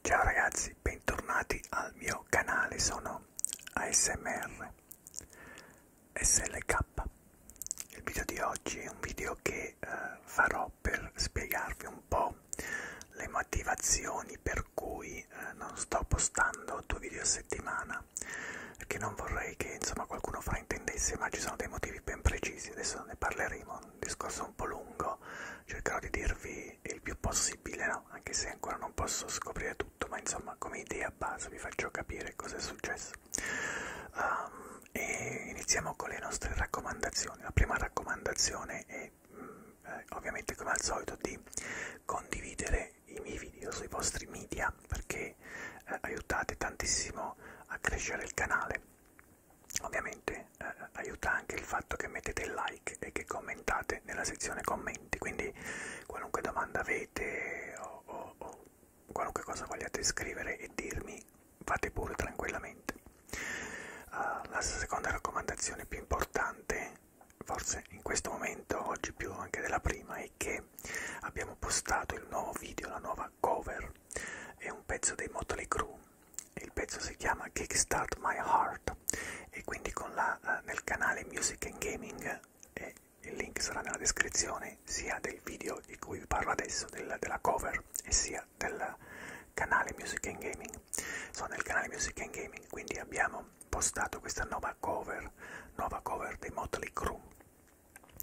Ciao ragazzi, bentornati al mio canale, sono ASMR SLK. Il video di oggi è un video che eh, farò per spiegarvi un po' le motivazioni per cui eh, non sto postando due video a settimana, perché non vorrei che insomma qualcuno fraintendesse, ma ci sono dei motivi ben precisi, adesso ne parleremo un discorso un po' lungo, cercherò di dirvi il più possibile, no? anche se ancora non posso scoprire tutto, ma insomma come idea base vi faccio capire cosa è successo. Um, e iniziamo con le nostre raccomandazioni. La prima raccomandazione è mm, eh, ovviamente come al solito di condividere i miei video sui vostri media perché eh, aiutate tantissimo a crescere il canale ovviamente eh, aiuta anche il fatto che mettete il like e che commentate nella sezione commenti quindi qualunque domanda avete o, o, o qualunque cosa vogliate scrivere e dirmi fate pure tranquillamente uh, la seconda raccomandazione più importante forse in questo momento oggi più anche della prima è che abbiamo postato il nuovo video la nuova cover è un pezzo dei Motley Crue il pezzo si chiama Kickstart My Heart e quindi con la, eh, nel canale Music and Gaming e eh, il link sarà nella descrizione sia del video di cui vi parlo adesso, del, della cover e sia del canale Music and Gaming sono nel canale Music and Gaming quindi abbiamo postato questa nuova cover nuova cover dei Motley Crue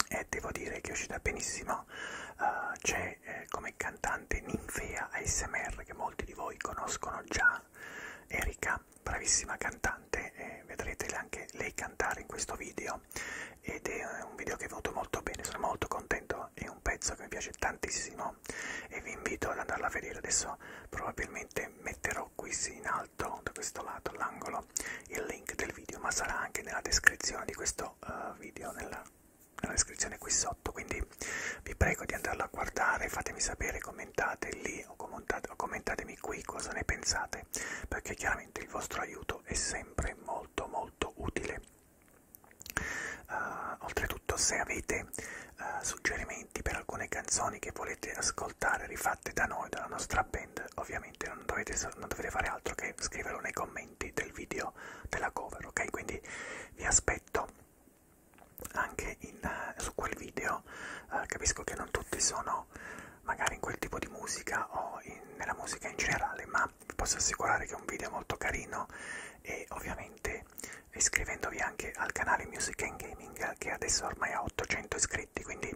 e devo dire che è uscita benissimo uh, c'è come, eh, come cantante ninfea ASMR che molti di voi conoscono già, Erika, bravissima cantante, eh, vedrete anche lei cantare in questo video ed è eh, un video che è venuto molto bene, sono molto contento, è un pezzo che mi piace tantissimo e vi invito ad andarla a vedere, adesso probabilmente metterò qui in alto, da questo lato, all'angolo, il link del video, ma sarà anche nella descrizione di questo uh, video, nella la descrizione qui sotto, quindi vi prego di andarla a guardare, fatemi sapere, commentate lì o commentatemi qui cosa ne pensate, perché chiaramente il vostro aiuto è sempre molto molto utile. Uh, oltretutto se avete uh, suggerimenti per alcune canzoni che volete ascoltare rifatte da noi, dalla nostra band, ovviamente non dovete, non dovete fare altro che scriverlo nei commenti commenti del video della cover, ok? Quindi vi aspetto anche in, uh, su quel video. Uh, capisco che non tutti sono magari in quel tipo di musica o in, nella musica in generale, ma vi posso assicurare che è un video molto carino e ovviamente iscrivendovi anche al canale Music and Gaming che adesso ormai ha 800 iscritti, quindi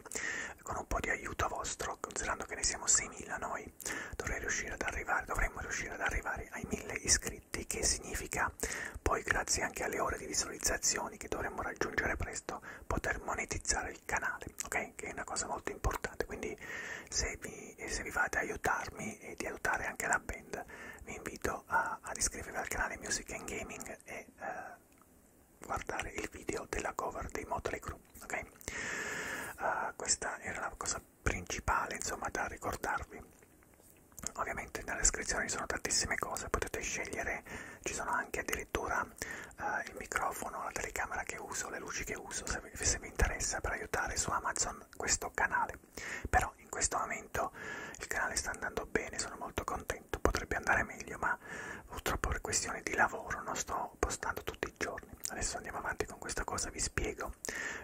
con un po' di aiuto vostro, considerando che ne siamo 6.000 noi, iscritti dovrei riuscire ad arrivare dovremmo riuscire ad arrivare ai 1000 iscritti che significa poi grazie anche alle ore di visualizzazioni che dovremmo raggiungere presto poter monetizzare il canale ok che è una cosa molto importante quindi se vi, se vi fate aiutarmi e di aiutare anche la band vi invito a, ad iscrivervi al canale Music and Gaming e uh, guardare il video della cover dei Motley Crue, ok? Uh, questa era la cosa cosa principale insomma da ricordarvi ovviamente nella descrizione ci sono tantissime cose potete scegliere ci sono anche addirittura eh, il microfono la telecamera che uso le luci che uso se vi, se vi interessa per aiutare su amazon questo canale però in questo momento il canale sta andando bene sono molto contento potrebbe andare meglio ma purtroppo per questioni di lavoro non sto postando tutti i giorni adesso andiamo avanti con questa cosa vi spiego esempio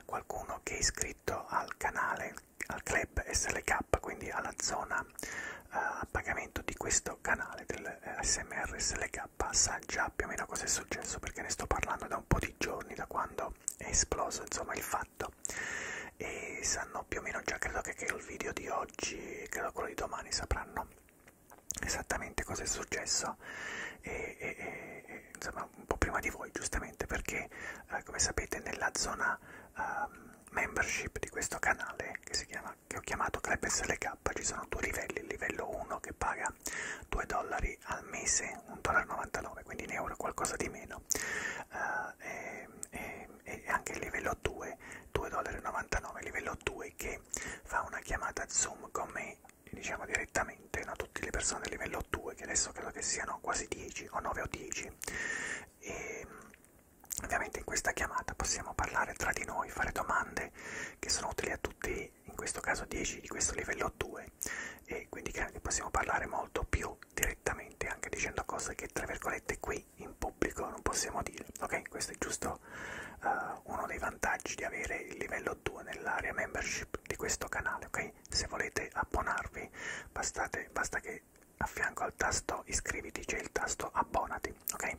qualcuno che è iscritto al canale al club SLK quindi alla zona eh, a pagamento di questo canale del eh, SMR SLK sa già più o meno cosa è successo perché ne sto parlando da un po' di giorni da quando è esploso insomma il fatto e sanno più o meno già credo che, che il video di oggi credo quello di domani sapranno esattamente cosa è successo e, e, e, insomma, un po' prima di voi, giustamente, perché eh, come sapete nella zona eh, membership di questo canale che, si chiama, che ho chiamato Club SLK ci sono due livelli, il livello 1 che paga 2 dollari al mese, 1,99 quindi in euro qualcosa di meno, uh, e, e, e anche il livello 2, 2,99 livello 2 che fa una chiamata Zoom con me diciamo direttamente a no? tutte le persone del livello 2 che adesso credo che siano quasi 10 o 9 o 10 e ovviamente in questa chiamata possiamo parlare tra di noi fare domande che sono utili a tutti in questo caso 10 di questo livello 2 e quindi possiamo parlare molto più direttamente anche dicendo cose che tra virgolette qui in pubblico non possiamo dire ok questo è giusto uh, uno dei vantaggi di avere il livello 2 nell'area membership di questo canale ok se volete abbonarvi Bastate, basta che a fianco al tasto iscriviti c'è il tasto abbonati ok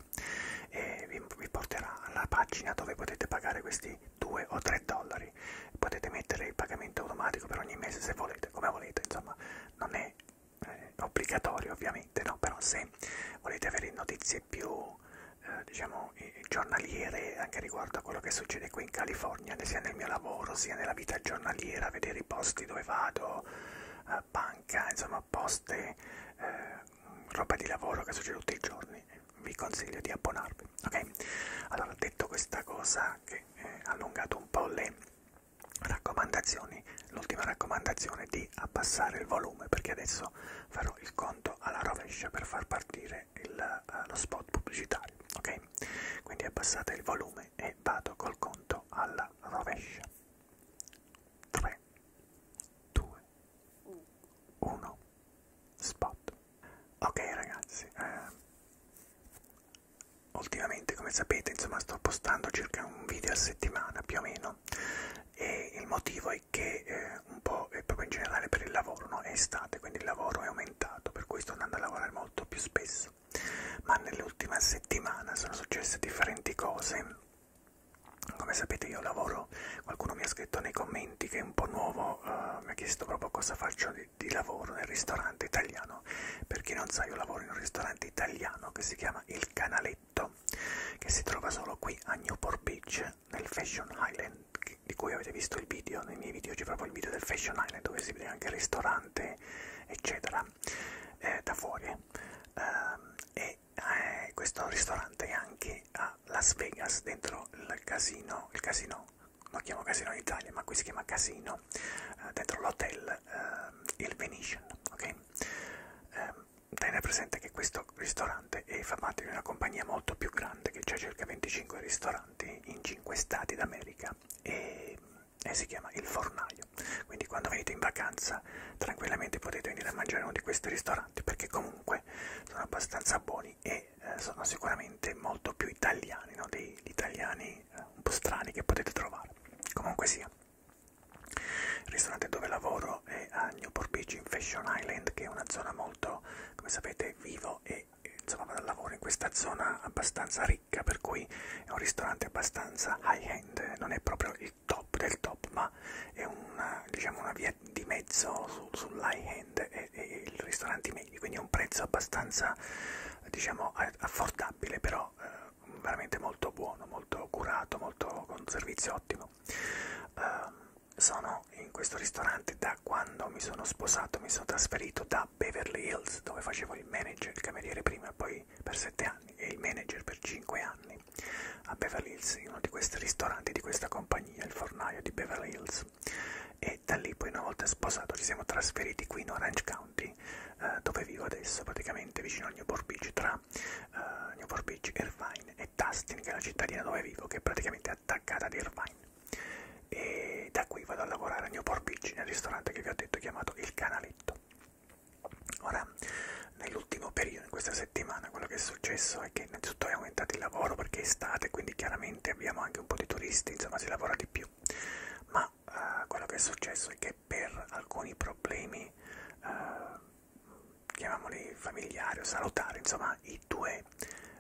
e vi, vi porterà alla pagina dove potete pagare questi 2 o 3 dollari potete mettere il pagamento automatico per ogni mese se volete come volete insomma non è eh, obbligatorio ovviamente no però se volete avere notizie più eh, eh, diciamo, giornaliere anche riguardo a quello che succede qui in California, sia nel mio lavoro sia nella vita giornaliera, vedere i posti dove vado, eh, banca, insomma poste, eh, roba di lavoro che succede tutti i giorni. Vi consiglio di abbonarvi. Ok? Allora, detto questa cosa che eh, ha allungato un po' le raccomandazioni, l'ultima raccomandazione è di abbassare il volume perché adesso farò il conto alla rovescia per far partire il, eh, lo spot pubblicitario particolari, ok? Quindi abbassate il volume e vado col conto alla rovescia. 3, 2, 1, spot. Ok ragazzi, eh, ultimamente come sapete insomma sto postando circa un video a settimana più o meno e il motivo è che eh, un po' e proprio in generale per il lavoro, no? È estate, quindi il lavoro è aumentato, per cui sto andando a lavorare molto più spesso. Ma nell'ultima settimana sono successe differenti cose. Come sapete io lavoro, qualcuno mi ha scritto nei commenti che è un po' nuovo, uh, mi ha chiesto proprio cosa faccio di, di lavoro nel ristorante italiano. Per chi non sa io lavoro in un ristorante italiano che si chiama Il Canaletto, che si trova solo qui a Newport Beach, nel Fashion Island di cui avete visto il video, nei miei video c'è proprio il video del Fashion Island dove si vede anche il ristorante eccetera eh, da fuori eh, e eh, questo ristorante è anche a Las Vegas dentro il casino, il casino lo chiamo casino in Italia ma qui si chiama casino, eh, dentro l'hotel eh, il Venetian, ok? Eh, Tenere presente che questo ristorante è fa parte di una compagnia molto più grande che c'è circa 25 ristoranti importanti in 5 stati d'America e, e si chiama Il Fornaio. Quindi quando venite in vacanza tranquillamente potete venire a mangiare uno di questi ristoranti perché comunque sono abbastanza buoni e eh, sono sicuramente molto più italiani, no? degli italiani eh, un po' strani che potete trovare. Comunque sia. Il ristorante dove lavoro è a Newport Beach in Fashion Island, che è una zona molto, come sapete, vivo e che insomma vado al lavoro in questa zona abbastanza ricca per cui è un ristorante abbastanza high end non è proprio il top del top ma è una, diciamo una via di mezzo su, sull'high end e, e il ristorante meglio quindi è un prezzo abbastanza diciamo affordabile però eh, veramente molto buono molto curato molto con servizio ottimo eh, sono sono in questo ristorante da quando mi sono sposato, mi sono trasferito da Beverly Hills dove facevo il manager, il cameriere prima e poi per 7 anni e il manager per 5 anni a Beverly Hills, in uno di questi ristoranti di questa compagnia, il fornaio di Beverly Hills e da lì poi una volta sposato ci siamo trasferiti qui in Orange County eh, dove vivo adesso praticamente vicino a Newport Beach tra eh, Newport Beach, Irvine e Tustin che è la cittadina dove vivo che è praticamente a attaccata ad Irvine. E da qui vado a lavorare a Newport Beach, nel ristorante che vi ho detto chiamato Il Canaletto. Ora, nell'ultimo periodo, in questa settimana, quello che è successo è che innanzitutto è aumentato il lavoro perché è estate, quindi chiaramente abbiamo anche un po' di turisti, insomma si lavora di più. Ma uh, quello che è successo è che per alcuni problemi, uh, chiamiamoli familiari o salutari, insomma i due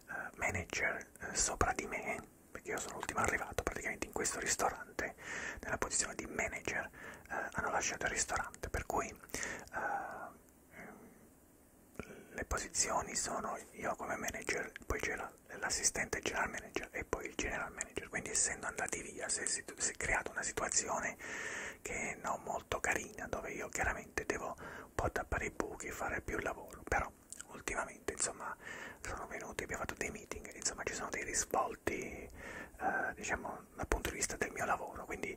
uh, manager uh, sopra di me perché io sono l'ultimo arrivato praticamente in questo ristorante, nella posizione di manager, eh, hanno lasciato il ristorante, per cui eh, le posizioni sono io come manager, poi c'è l'assistente general manager e poi il general manager, quindi essendo andati via si è, si è creata una situazione che è non molto carina, dove io chiaramente devo un po' tappare i buchi, fare più lavoro, però ultimamente insomma sono venuti, abbiamo fatto dei meeting, insomma ci sono dei risvolti eh, diciamo dal punto di vista del mio lavoro, quindi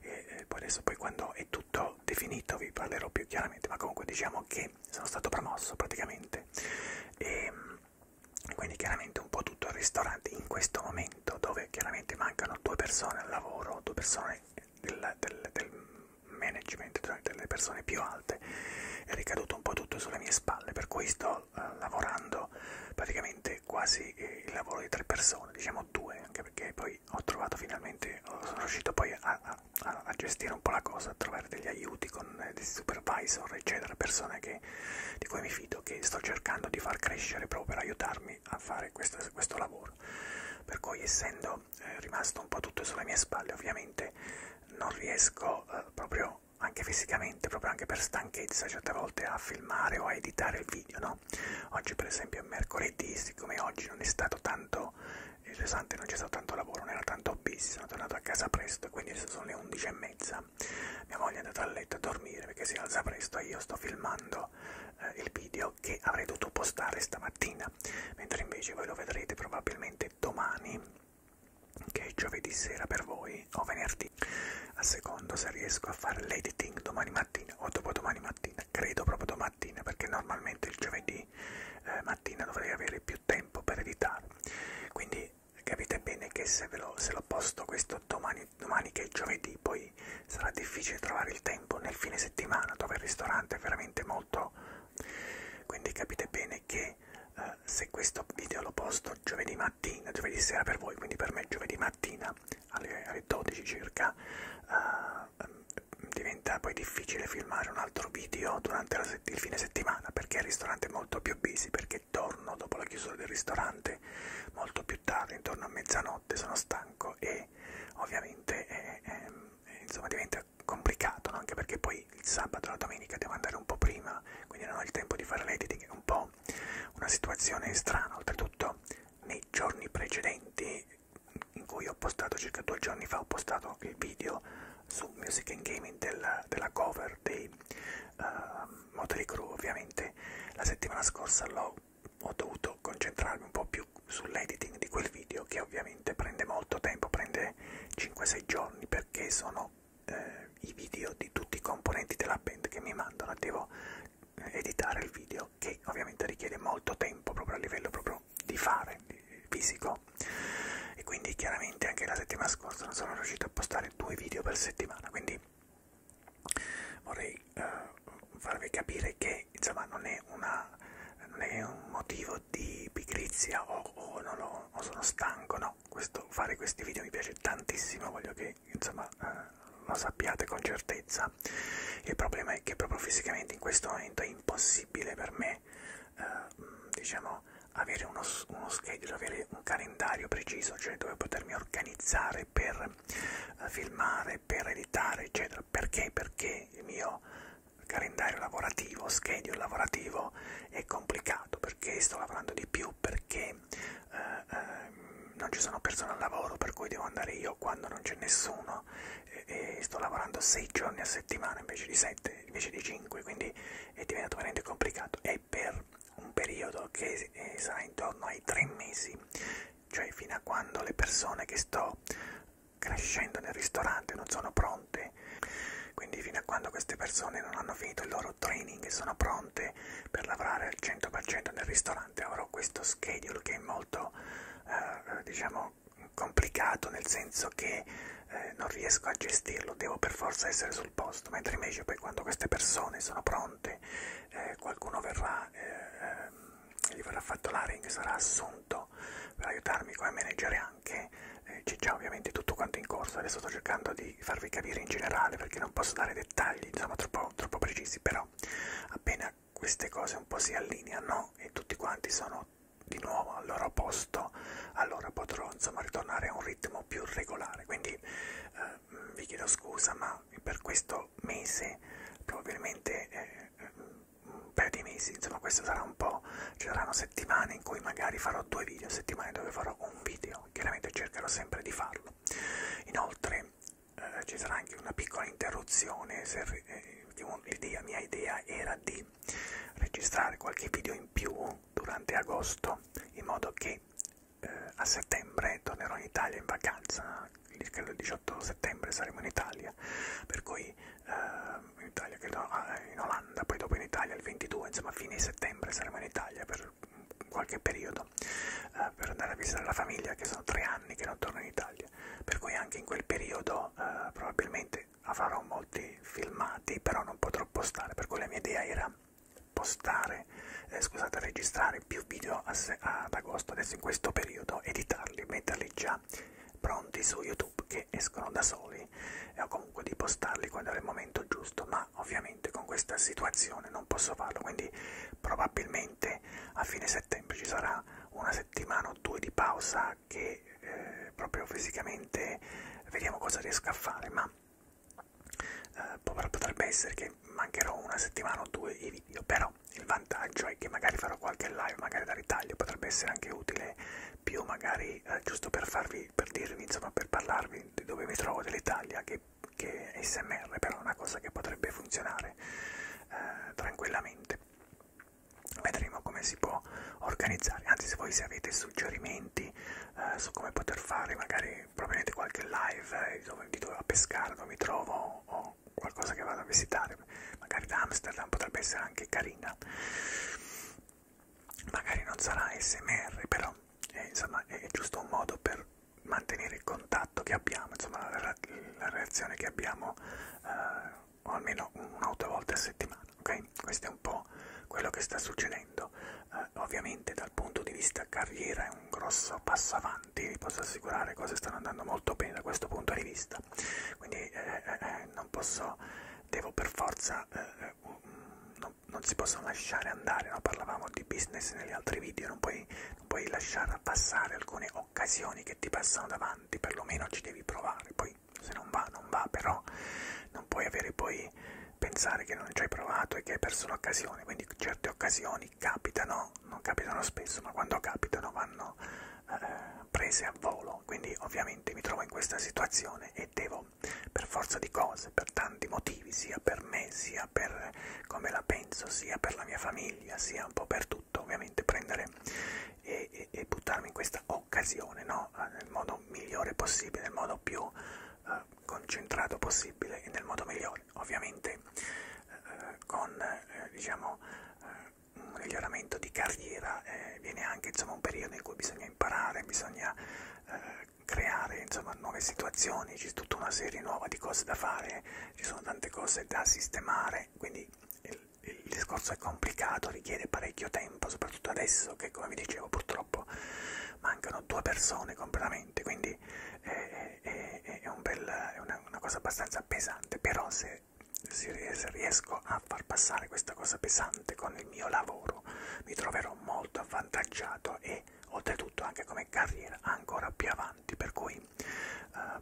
eh, eh poi adesso poi quando è tutto definito vi parlerò più chiaramente, ma comunque diciamo che sono stato promosso praticamente e ehm, quindi chiaramente un po' tutto il ristorante in questo momento dove chiaramente mancano due persone al lavoro, due persone del, del, del management cioè delle persone più alte è ricaduto un po' tutto sulle mie spalle, per cui sto uh, lavorando praticamente quasi eh, il lavoro di tre persone, diciamo due, anche perché poi ho trovato finalmente, sono riuscito poi a, a, a gestire un po' la cosa, a trovare degli aiuti con eh, dei supervisor, eccetera, persone che, di cui mi fido, che sto cercando di far crescere proprio per aiutarmi a fare questo, questo lavoro. Per cui essendo lavoro è rimasto un po' tutto sulle mie spalle, ovviamente non riesco eh, proprio anche fisicamente, proprio anche per stanchezza certe volte a filmare o a editare il video, no? Oggi per esempio è mercoledì, siccome oggi non è stato tanto interessante, non c'è stato tanto lavoro, non era tanto busy, sono tornato a casa presto, quindi sono le 11 e mezza, mia moglie è andata a letto a dormire perché si alza presto e io sto filmando eh, il video che avrei dovuto postare stamattina, mentre invece voi lo vedrete probabilmente che domani, che è giovedì sera per voi, o venerdì, a secondo se riesco a fare l'editing domani mattina o dopodomani mattina, credo proprio domattina perché normalmente il giovedì eh, mattina dovrei avere più tempo per editare. Quindi capite bene che se, ve lo, se lo posto questo domani, domani che è giovedì, poi sarà difficile trovare il tempo nel fine settimana dove il ristorante è veramente molto molto quindi capite bene che eh, se questo video lo posto giovedì mattina giovedì sera per voi quindi per me giovedì mattina alle, alle 12 circa eh, diventa poi difficile filmare un altro video durante il fine settimana perché il ristorante è molto più busy perché torno dopo la chiusura del ristorante molto più tardi intorno a mezzanotte sono stanco e ovviamente eh, eh, insomma diventa complicato, no? anche perché poi il sabato e la domenica devo andare un po' prima, quindi non ho il tempo di fare l'editing, è un po' una situazione strana, oltretutto nei giorni precedenti in cui ho postato, circa due giorni fa ho postato il video su Music and Gaming del, della cover dei uh, Motley Crue, ovviamente la settimana scorsa l'ho ho dovuto concentrarmi un po' più sull'editing di quel video che ovviamente veramente prende molto tempo, prende 5-6 giorni perché sono eh, i video di tutti i componenti della band che mi mandano, devo eh, editare il video che ovviamente richiede molto tempo proprio a livello proprio di fare, di fisico e quindi chiaramente anche la settimana scorsa non sono riuscito a postare due video per settimana, quindi vorrei eh, farvi capire che insomma non è, una, non è un motivo video di pigrizia o, o non lo, o sono stanco, no, questo, fare questi video mi piace tantissimo, voglio che insomma eh, lo sappiate con certezza. Il problema è che proprio fisicamente in questo momento è impossibile per me, eh, diciamo, avere uno, uno schedule, avere un calendario preciso, cioè dove potermi organizzare per eh, filmare, per editare, eccetera. Perché? Perché il mio calendario lavorativo, schedule lavorativo è complicato perché sto lavorando di più, perché eh, eh, non ci sono persone al lavoro per cui devo andare io quando non c'è nessuno e, e sto lavorando 6 giorni a settimana invece di 7, invece di 5, quindi è diventato veramente complicato e per un periodo che eh, sarà intorno ai 3 mesi, cioè fino a quando le persone che sto crescendo nel ristorante non sono pronte quindi fino a quando queste persone non hanno finito il loro training e sono pronte per lavorare al 100% nel ristorante avrò questo schedule che è molto eh, diciamo complicato nel senso che eh, non riesco a gestirlo devo per forza essere sul posto mentre invece poi quando queste persone sono pronte eh, qualcuno verrà eh, ehm, gli verrà fatto l'aring sarà assunto tanto per aiutarmi come manager anche eh, c'è già ovviamente tutto quanto in corso adesso sto cercando di farvi capire in generale perché non posso dare dettagli insomma troppo, troppo precisi però appena queste cose un po' si allineano e tutti quanti sono di nuovo al loro posto allora potrò insomma ritornare a un ritmo più regolare quindi eh, vi chiedo scusa ma per questo mese probabilmente eh, un paio di mesi, insomma questo sarà un po', ci saranno settimane in cui magari farò due video, settimane dove farò un video, chiaramente cercherò sempre di farlo. Inoltre eh, ci sarà anche una piccola interruzione, se, eh, l'idea, mia idea era di registrare qualche video in più durante agosto, in modo che eh, a settembre tornerò in Italia in vacanza, credo il 18 settembre saremo in Italia, per cui eh, in Italia, credo, ah, eh, in Olanda, poi dopo in Italia il 22, insomma a fine settembre saremo in Italia per qualche periodo eh, per andare a visitare la famiglia che sono tre anni che non torno in Italia, per cui anche in quel periodo eh, probabilmente farò molti filmati, però non potrò postare, per cui la mia idea era postare, eh, scusate, registrare più video a se, ad agosto, adesso in questo periodo, editarli, metterli già pronti su YouTube YouTube che escono da soli e o comunque di postarli quando è il momento giusto, ma ovviamente con questa situazione non posso farlo, quindi probabilmente a fine settembre ci sarà una settimana o due di pausa che eh, proprio fisicamente vediamo cosa riesco a fare, ma eh, potrebbe essere che mancherò una settimana o due i video, però il vantaggio è che magari farò qualche live, magari da ritaglio, potrebbe essere anche utile più magari eh, giusto per farvi, per dirvi, insomma, per parlarvi di dove mi trovo dell'Italia che, che SMR, però è una cosa che potrebbe funzionare eh, tranquillamente. Vedremo come si può organizzare, anzi se voi se avete suggerimenti eh, su come poter fare magari probabilmente qualche live eh, dove, di dove a pescare, dove mi trovo o qualcosa che vado a visitare, magari da Amsterdam potrebbe essere anche carina magari non sarà smr però eh, è, insomma, è giusto un modo per mantenere il contatto che abbiamo insomma la, la, la reazione che abbiamo eh, o almeno una o due volte a settimana ok questo è un po quello che sta succedendo eh, ovviamente dal punto di vista carriera è un grosso passo avanti vi posso assicurare cose stanno andando molto bene da questo punto di vista quindi eh, eh, eh non posso devo per forza eh, non, non si possono lasciare andare, no? parlavamo di business negli altri video, non puoi, non puoi lasciare passare alcune occasioni che ti passano davanti, perlomeno ci devi provare, poi se non va non va, però non puoi avere poi pensare che non ci hai provato e che hai perso l'occasione, quindi certe occasioni capitano, non capitano spesso, ma quando capitano vanno eh, prese a volo, quindi ovviamente mi trovo in questa situazione e devo per forza di cose, per tanti motivi, sia per me, sia per come la penso, sia per la mia famiglia, sia un po' per tutto, ovviamente prendere e, e, e buttarmi in questa occasione, no? Ah, nel modo migliore possibile, nel modo più eh, concentrato possibile e nel modo migliore, ovviamente eh, con eh, diciamo, eh, un miglioramento di carriera eh, viene anche insomma, un periodo in cui bisogna bisogna imparare, bisogna eh, creare insomma, nuove situazioni, c'è tutta una serie nuova di cose da fare, ci sono tante cose da sistemare, quindi il, il discorso è complicato, richiede parecchio tempo, soprattutto adesso che come vi dicevo purtroppo mancano due persone completamente, quindi è, è, è, un bel, è una, una cosa abbastanza pesante, però se, se riesco a far passare questa cosa pesante con nel mio lavoro mi troverò molto avvantaggiato e oltretutto anche come carriera ancora più avanti per cui eh,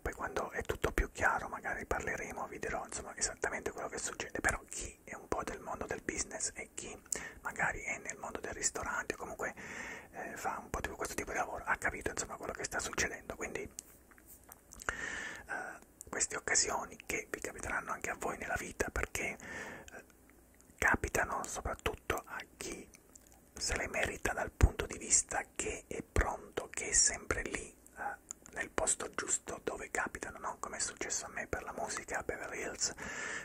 poi quando è tutto più chiaro magari parleremo vi dirò insomma esattamente quello che succede però chi è un po' del mondo del business e chi magari è nel mondo del ristorante o comunque eh, fa un po' di questo tipo di lavoro ha capito insomma quello che sta succedendo quindi eh, queste occasioni che vi capiteranno anche a voi nella vita perché eh, capitano soprattutto a chi se le merita dal punto di vista che è pronto, che è sempre lì eh, nel posto giusto dove capitano, no? come è successo a me per la musica a Beverly Hills,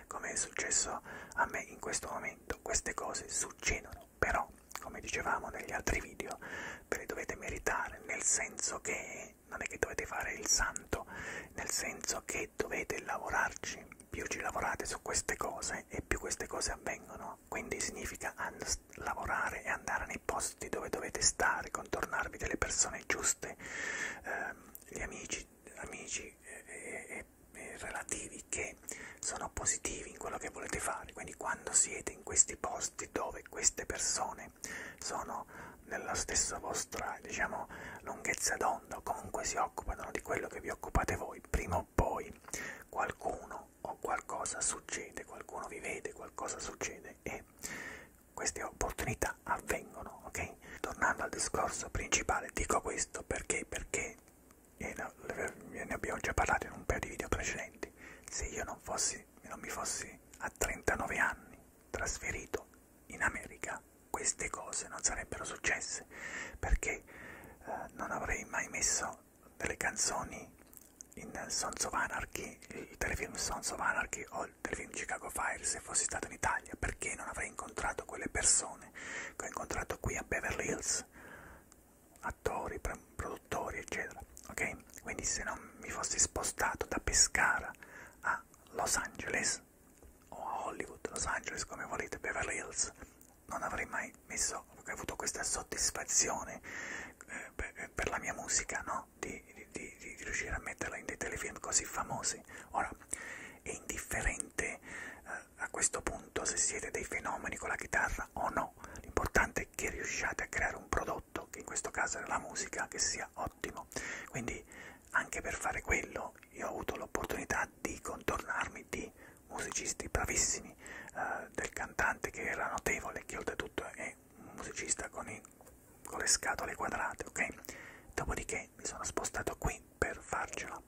come è successo a me in questo momento. Queste cose succedono, però, come dicevamo negli altri video, ve le dovete meritare, nel senso che non è che dovete fare il santo, nel senso che dovete lavorarci, più ci lavorate su queste cose e più queste cose avvengono, quindi significa lavorare e andare nei posti dove dovete stare, contornarvi delle persone giuste, ehm, gli amici, amici e, e, e relativi che sono positivi in quello che volete fare, quindi quando siete in questi posti dove queste persone che sono nella stessa vostra diciamo lunghezza d'onda o comunque si occupano di quello che vi occupate voi prima o poi qualcuno o qualcosa succede qualcuno vi vede qualcosa succede e queste opportunità avvengono ok tornando al discorso principale dico questo perché perché e ne abbiamo già parlato in un paio di video precedenti se io non fossi non mi fossi a 39 anni trasferito in America queste cose non sarebbero successe perché eh, non avrei mai messo delle canzoni in Sons of Anarchy, il telefilm Sons of Anarchy o il telefilm Chicago Fire se fossi stato in Italia perché non avrei incontrato quelle persone che ho incontrato qui a Beverly Hills attori, produttori eccetera ok? quindi se non mi fossi spostato da Pescara a Los Angeles Angeles o a Hollywood, Los Angeles come volete, Beverly Hills, non avrei mai messo, avuto questa soddisfazione eh, per, eh, per la mia musica, no? Di, di, di, di riuscire a metterla in dei telefilm così famosi. Ora, è indifferente eh, a questo punto se siete dei fenomeni con la chitarra o no, l'importante è che riusciate a creare un prodotto, che in questo caso era la musica, che sia ottimo. Quindi anche per fare quello io ho avuto l'opportunità di contornarmi di musicisti bravissimi, eh, del cantante che era notevole, che oltretutto è un musicista con, i, con le scatole quadrate, ok? Dopodiché mi sono spostato qui per farcela.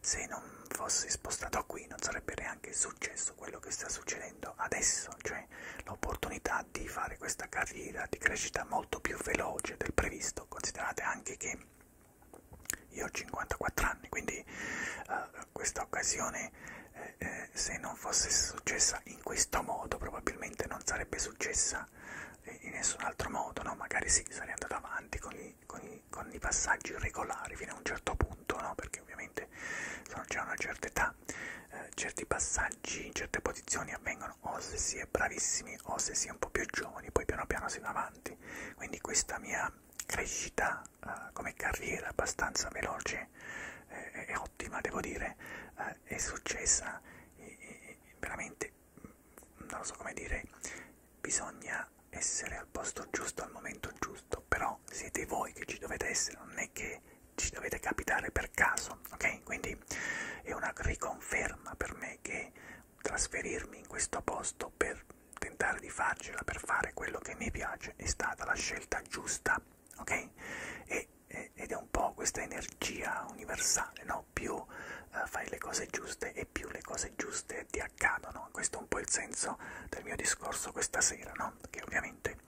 Se non fossi spostato qui non sarebbe neanche successo quello che sta succedendo adesso, cioè l'opportunità di fare questa carriera di crescita molto più veloce del previsto, considerate anche che io ho 54 anni, quindi eh, questa occasione eh, eh, se non fosse successa in questo modo probabilmente non sarebbe successa eh, in nessun altro modo, no? magari sì, sarei andato avanti con i, con, i, con i passaggi regolari fino a un certo punto, no? perché ovviamente sono già a una certa età, eh, certi passaggi, certe posizioni avvengono arrivano o se si è bravissimi o se si è un po' più giovani, poi piano piano si va avanti. Quindi questa mia crescita uh, come carriera abbastanza veloce eh, e ottima, devo dire, eh, è successa e, e, veramente, mm, non lo so come dire, bisogna essere al posto giusto al momento giusto, però siete voi che ci dovete essere, non è che ci dovete capitare per caso, ok? Quindi è una riconferma per me decisione che trasferirmi in questo posto per tentare di farcela, per fare quello che mi piace, è stata la scelta giusta, ok? E, e, ed è un po' questa energia universale, no? Più uh, fai le cose giuste e più le cose giuste ti accadono. Questo è un po' il senso del mio discorso questa sera, no? Che ovviamente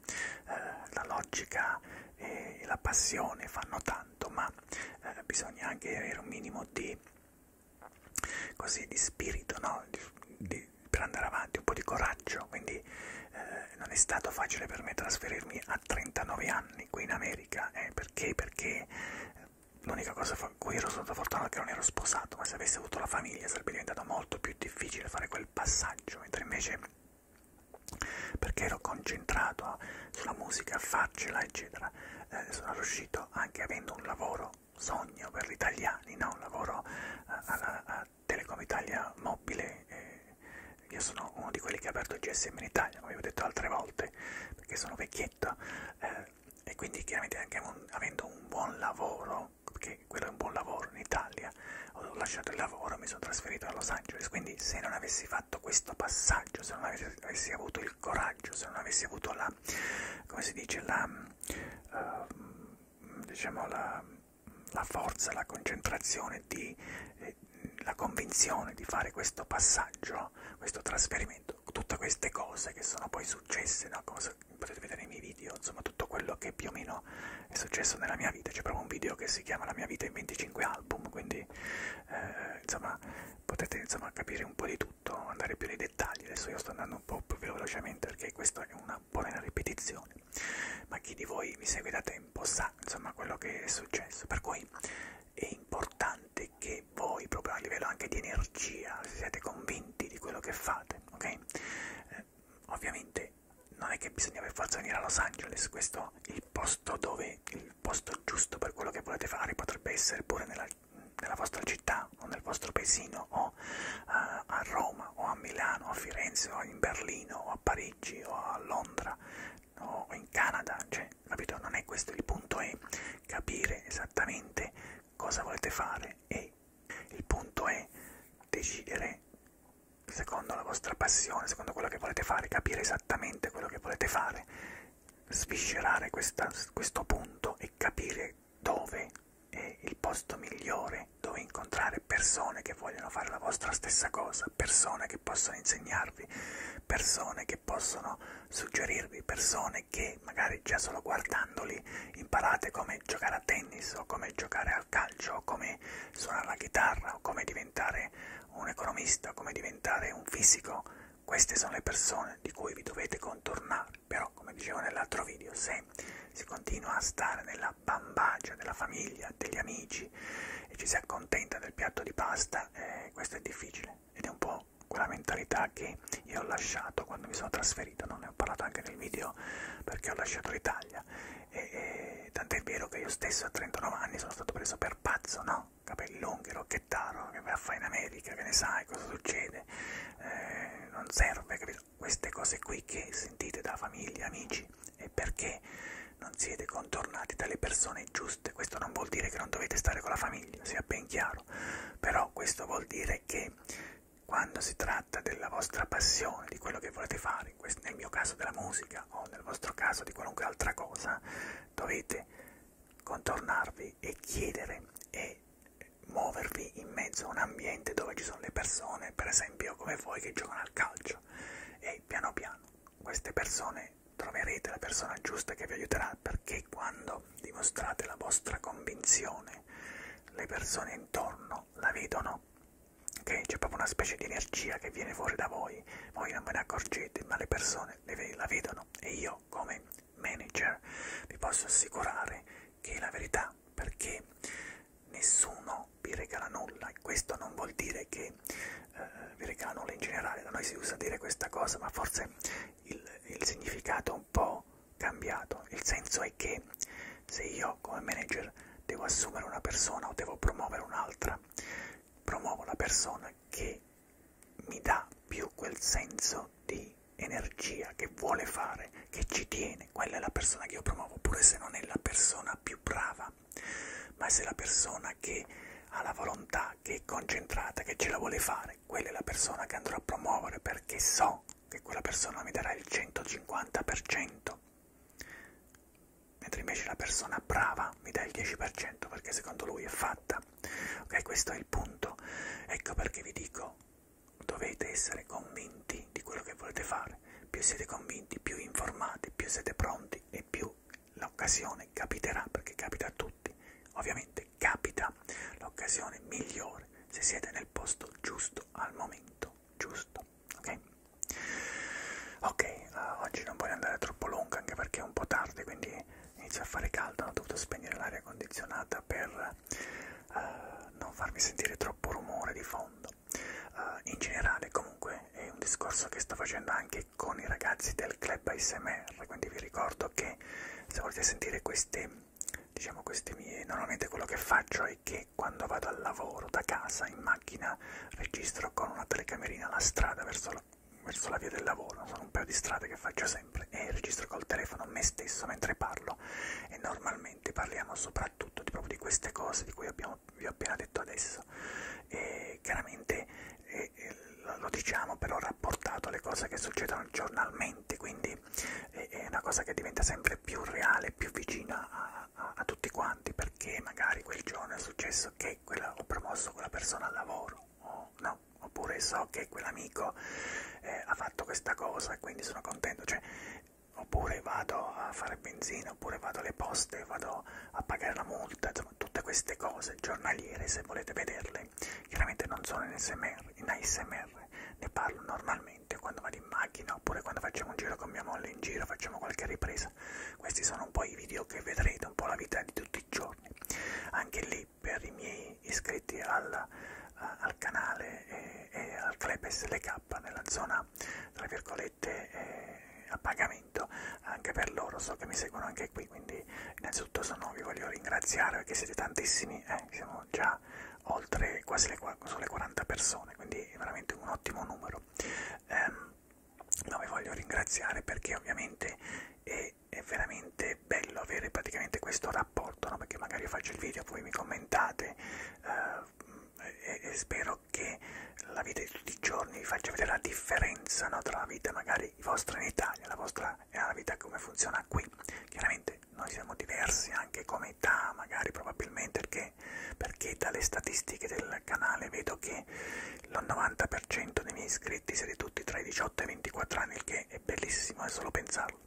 uh, la logica e la passione fanno tanto tanto, ma eh, bisogna anche avere un minimo di, così, di spirito no? di, di, per andare avanti, un po' di coraggio. Quindi eh, non è stato facile per me trasferirmi a 39 anni qui in America. Eh, perché? Perché eh, l'unica cosa a cui ero stato fortunato è che non ero sposato, ma se avessi avuto la famiglia sarebbe diventato molto più difficile fare quel passaggio, mentre invece perché ero concentrato sulla musica, a farcela, eccetera. Eh, sono riuscito anche avendo un lavoro sogno per gli italiani, no? un lavoro eh, a, a, a Telecom Italia mobile. Eh, io sono uno di quelli che ha aperto il GSM in Italia, come vi ho detto altre volte, perché sono vecchietto eh, e quindi chiaramente anche un, avendo un buon lavoro, perché quello è un buon lavoro in Italia, ho lasciato il lavoro, mi sono trasferito a Los Angeles, quindi se non avessi fatto questo passaggio, se non avessi avessi avuto il coraggio, se non avessi avuto la, come si dice, la, uh, diciamo la, la forza, la concentrazione, di, eh, la convinzione di fare questo passaggio, questo trasferimento, tutte queste cose che sono poi successe, no? Cosa, potete vedere nei miei video, insomma tutto quello che più o meno è successo nella mia vita, c'è proprio un video che si chiama La mia vita in 25 album, quindi eh, insomma potete insomma capire un po' di tutto, andare più nei dettagli, adesso io sto andando un po' più velocemente perché questa è una buona ripetizione, ma chi di voi mi segue da tempo sa insomma quello che è successo, per cui è importante che voi proprio a livello anche di energia siate convinti di quello che fate, ok? Eh, ovviamente non è che bisogna per forza venire a Los Angeles, questo è il posto dove, il posto giusto per quello che volete fare, potrebbe essere pure nella, nella vostra città o nel vostro paesino o uh, a Roma o a Milano o a Firenze o in Berlino o a Parigi o a Londra o in Canada, cioè, capito? Non è questo il punto, è capire esattamente cosa volete fare e il punto è decidere secondo la vostra passione, secondo quello che volete fare, capire esattamente quello che volete fare sviscerare questa, questo punto e capire dove è il posto migliore dove incontrare persone che vogliono fare la vostra stessa cosa, persone che possono insegnarvi, persone che possono suggerirvi, persone che magari già solo guardandoli imparate come giocare a tennis o come giocare al calcio o come suonare la chitarra o come diventare un economista, come diventare un fisico queste sono le persone di cui vi dovete contornare, però come dicevo nell'altro video, se si continua a stare nella bambagia della famiglia, degli amici e ci si accontenta del piatto di pasta, eh, questo è difficile ed è un po' quella mentalità che io ho lasciato quando mi sono trasferito, non ne ho parlato anche nel video perché ho lasciato l'Italia, e, e, tant'è vero che io stesso a 39 anni sono stato preso per pazzo, no? capelli lunghi, rocchettaro, che vai a fare in America, che ne sai cosa succede, eh, non serve, capito? Queste cose qui che sentite da famiglia, amici, e perché non siete contornati dalle persone giuste, questo non vuol dire che non dovete stare con la famiglia, sia ben chiaro, però questo vuol dire che quando si tratta della vostra passione, di quello che volete fare, nel mio caso della musica o nel vostro caso di qualunque altra cosa, dovete contornarvi e chiedere e muovervi in mezzo a un ambiente dove ci sono le persone, per esempio come voi che giocano al calcio, e piano piano queste persone troverete la persona giusta che vi aiuterà perché quando dimostrate la vostra convinzione le persone intorno la vedono, ok? C'è proprio una specie di energia che viene fuori da voi, voi non ve ne accorgete, ma le persone le, la vedono e io come manager vi posso assicurare che è la verità perché nessuno vi regala nulla questo non vuol dire che eh, vi regala nulla in generale da noi si usa dire questa cosa ma forse il, il significato è un po' cambiato il senso è che se io come manager devo assumere una persona o devo promuovere un'altra promuovo la persona che mi dà più quel senso di energia che vuole fare, che ci tiene, quella è la persona che io promuovo, pure se non è la persona più brava, ma se è la persona che ha la volontà, che è concentrata, che ce la vuole fare, quella è la persona che andrò a promuovere perché so che quella persona mi darà il 150%, mentre invece la persona brava mi dà il 10% perché secondo lui è fatta Ok, questo è il punto. Ecco perché vi dico, dovete essere convinti di quello che volete fare. Più siete convinti, più informati, più siete pronti e più l'occasione capiterà, perché capita a tutti. Ovviamente capita l'occasione migliore se siete nel posto giusto al momento giusto. Ok? Ok, uh, oggi non voglio andare troppo lungo anche perché è un po' tardi, quindi inizia a fare caldo, ho dovuto spegnere l'aria condizionata per eh, non farmi sentire troppo rumore di fondo. Eh, in generale comunque è un discorso che sto facendo anche con i ragazzi del club ASMR, quindi vi ricordo che se volete sentire queste diciamo queste mie normalmente quello che faccio è che quando vado al lavoro da casa in macchina registro con una telecamerina la strada verso la, verso la via del lavoro, sono un paio di strade che faccio sempre e registro col telefono me stesso mentre parlo e normalmente parliamo soprattutto di, proprio di queste cose di cui abbiamo, vi ho appena detto adesso e chiaramente e, e, lo diciamo però rapportato alle cose che succedono giornalmente quindi è, è una cosa che diventa sempre più reale, più vicina a, a, a tutti quanti perché magari quel giorno è successo che quella, ho promosso quella persona al lavoro o no, cosa oppure so che quell'amico eh, ha fatto questa cosa e quindi sono contento cioè, oppure vado a fare benzina oppure vado alle poste vado a pagare la multa insomma tutte queste cose giornaliere se volete vederle chiaramente non sono in ASMR, in ASMR ne parlo normalmente quando vado in macchina oppure quando facciamo un giro con mia moglie in giro facciamo qualche ripresa questi sono un po' i video che vedrete un po' la vita di tutti i giorni anche lì lì per i miei iscritti alla, a, eh, al canale e, e al club SLK nella zona tra virgolette eh, a pagamento anche per loro so che mi seguono anche qui quindi innanzitutto sono, vi voglio ringraziare perché siete tantissimi eh, siamo già oltre quasi le, sulle 40 persone quindi è veramente un ottimo numero eh, ma vi voglio ringraziare perché ovviamente eh, che è veramente bello avere praticamente questo rapporto, no? perché magari io faccio il video, voi mi commentate eh, e, e spero che la vita di tutti i giorni vi faccia vedere la differenza no? tra la vita magari vostra in Italia la vostra e la vita come funziona qui. Chiaramente noi siamo diversi anche come età, magari probabilmente perché, perché dalle statistiche del canale vedo che lo 90% dei miei iscritti siete tutti tra i 18 e i 24 anni, il che è bellissimo, è solo pensarlo.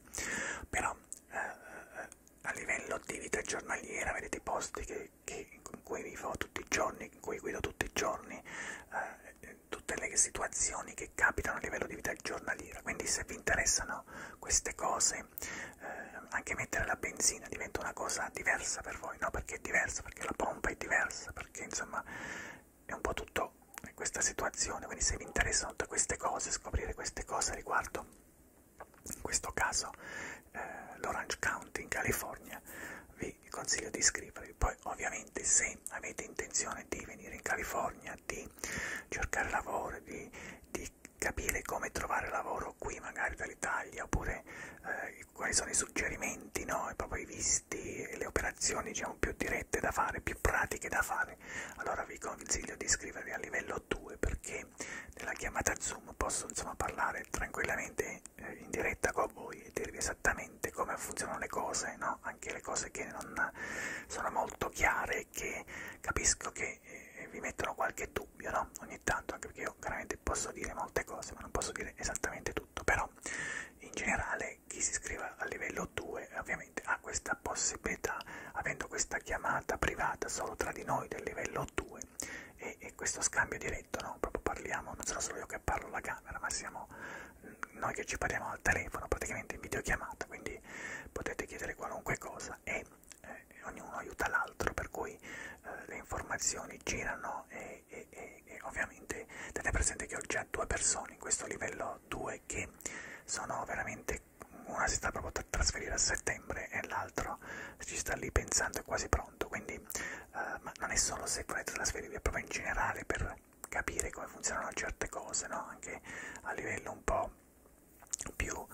Però eh, eh a livello di vita giornaliera vedete posti che, che, in cui vivo tutti i giorni, in cui guido tutti i giorni, eh, eh, tutte le situazioni che capitano a livello di vita giornaliera. Quindi se vi interessano queste cose, eh, anche mettere la benzina diventa una cosa diversa per voi, no? Perché è diversa, perché la pompa è diversa, perché insomma è un po' tutto questa situazione, quindi se vi interessano tutte queste cose, scoprire queste cose riguardo, in questo caso, eh, l'Orange County in California, vi consiglio di iscrivervi. Poi ovviamente se avete intenzione di venire in California, di cercare lavoro, di, di capire come trovare lavoro qui magari dall'Italia, oppure eh, quali sono i suggerimenti, no? e proprio i visti, testi, le operazioni diciamo, più dirette da fare, più pratiche da fare, allora vi consiglio di iscrivervi a livello 2 perché nella chiamata Zoom posso insomma, parlare tranquillamente eh, in diretta con voi e dirvi esattamente come funzionano le cose, no? anche le cose che non sono molto chiare e che capisco che eh, vi mettono qualche dubbio no? ogni tanto, anche perché io veramente posso dire molte cose ma non posso dire esattamente tutto, però in generale e chi si iscrive al livello 2 ovviamente ha questa possibilità avendo questa chiamata privata solo tra di noi del livello 2 e, e questo scambio diretto no proprio parliamo non sono solo io che parlo alla camera ma siamo mm, noi che ci parliamo al telefono praticamente in videochiamata quindi potete chiedere qualunque cosa e eh, ognuno aiuta l'altro per cui eh, le informazioni girano e, e, e, e ovviamente tenete presente che ho già a due persone in questo livello 2 che sono veramente una si sta proprio per trasferire a settembre e l'altro ci sta lì pensando è quasi pronto quindi uh, ma non è solo se volete trasferirvi è proprio in generale per capire come funzionano certe cose no? anche a livello un po' più uh,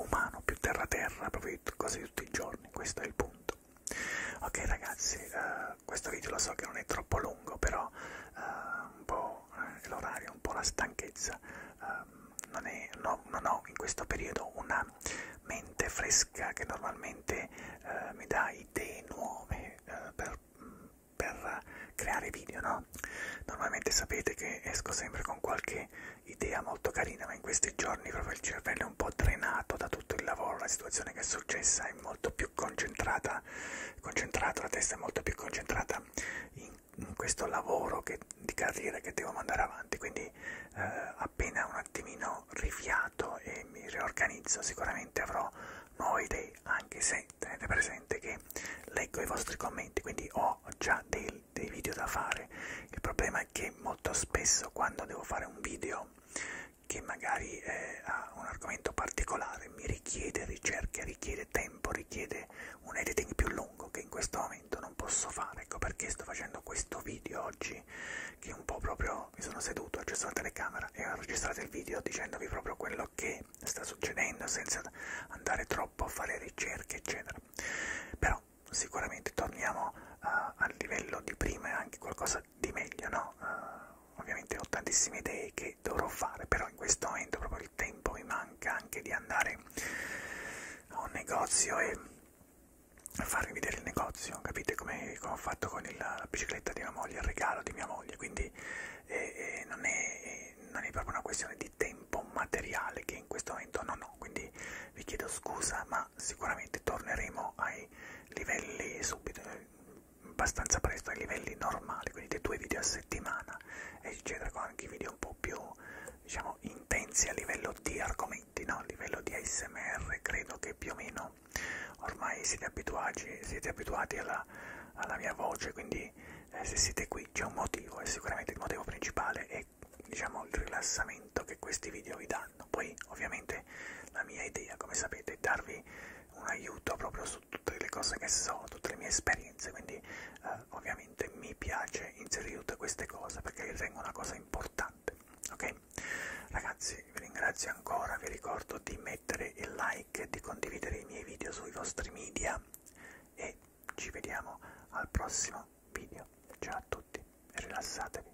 umano più terra terra proprio cose di tutti i giorni questo è il punto ok ragazzi uh, eh, questo video lo so che non è troppo lungo, però eh, un po' eh, l'orario, un po' la stanchezza, eh, non, è, no, non ho in questo periodo una mente fresca che normalmente eh, mi dà idee nuove eh, per, per creare video, no? Normalmente sapete che esco sempre con qualche idea molto carina, ma in questi giorni proprio il cervello è un po' drenato da tutto il lavoro, la situazione che è successa è molto più concentrata testa concentrata, la testa molto più concentrata in, in questo lavoro che, di carriera che devo mandare avanti, quindi eh, appena un attimino rifiato e mi riorganizzo sicuramente avrò nuove idee, anche se tenete presente che leggo i vostri commenti, quindi ho già dei, dei video da fare, il problema è che molto spesso quando devo fare un video che magari eh, ha un argomento particolare, mi richiede ricerche, richiede tempo, richiede un editing più lungo che in questo momento non posso fare, ecco perché sto facendo questo video oggi che un po' proprio mi sono seduto, ho acceso la telecamera e ho registrato il video dicendovi proprio quello che sta succedendo senza andare troppo a fare ricerche eccetera. Però sicuramente torniamo uh, al livello di prima e anche qualcosa di meglio, no? Uh, ovviamente ho tantissime idee che che dovrò fare, però in questo momento proprio il tempo mi manca anche di andare a un negozio e farvi vedere il negozio, capite come, come ho fatto con il, la bicicletta di mia moglie, il regalo di mia moglie, quindi eh, eh, non, è, eh, non è proprio una questione di tempo materiale che in questo momento non ho, quindi vi chiedo scusa, ma sicuramente torneremo ai livelli subito abbastanza presto ai livelli normali, quindi dei due video a settimana, eccetera, con anche video un po' più diciamo intensi a livello di argomenti, no? a livello di ASMR, credo che più o meno ormai siete abituati, siete abituati alla, alla mia voce, quindi eh, se siete qui c'è un motivo e sicuramente il motivo principale è diciamo il rilassamento che questi video vi danno. Poi ovviamente la mia idea, come sapete, è darvi un aiuto proprio su tutte le cose che so, tutte le mie esperienze, quindi eh, ovviamente mi piace inserire tutte queste cose perché ritengo una cosa importante, ok? Ragazzi, vi ringrazio ancora, vi ricordo di mettere il like, di condividere i miei video sui vostri media e ci vediamo al prossimo video. Ciao a tutti e rilassatevi.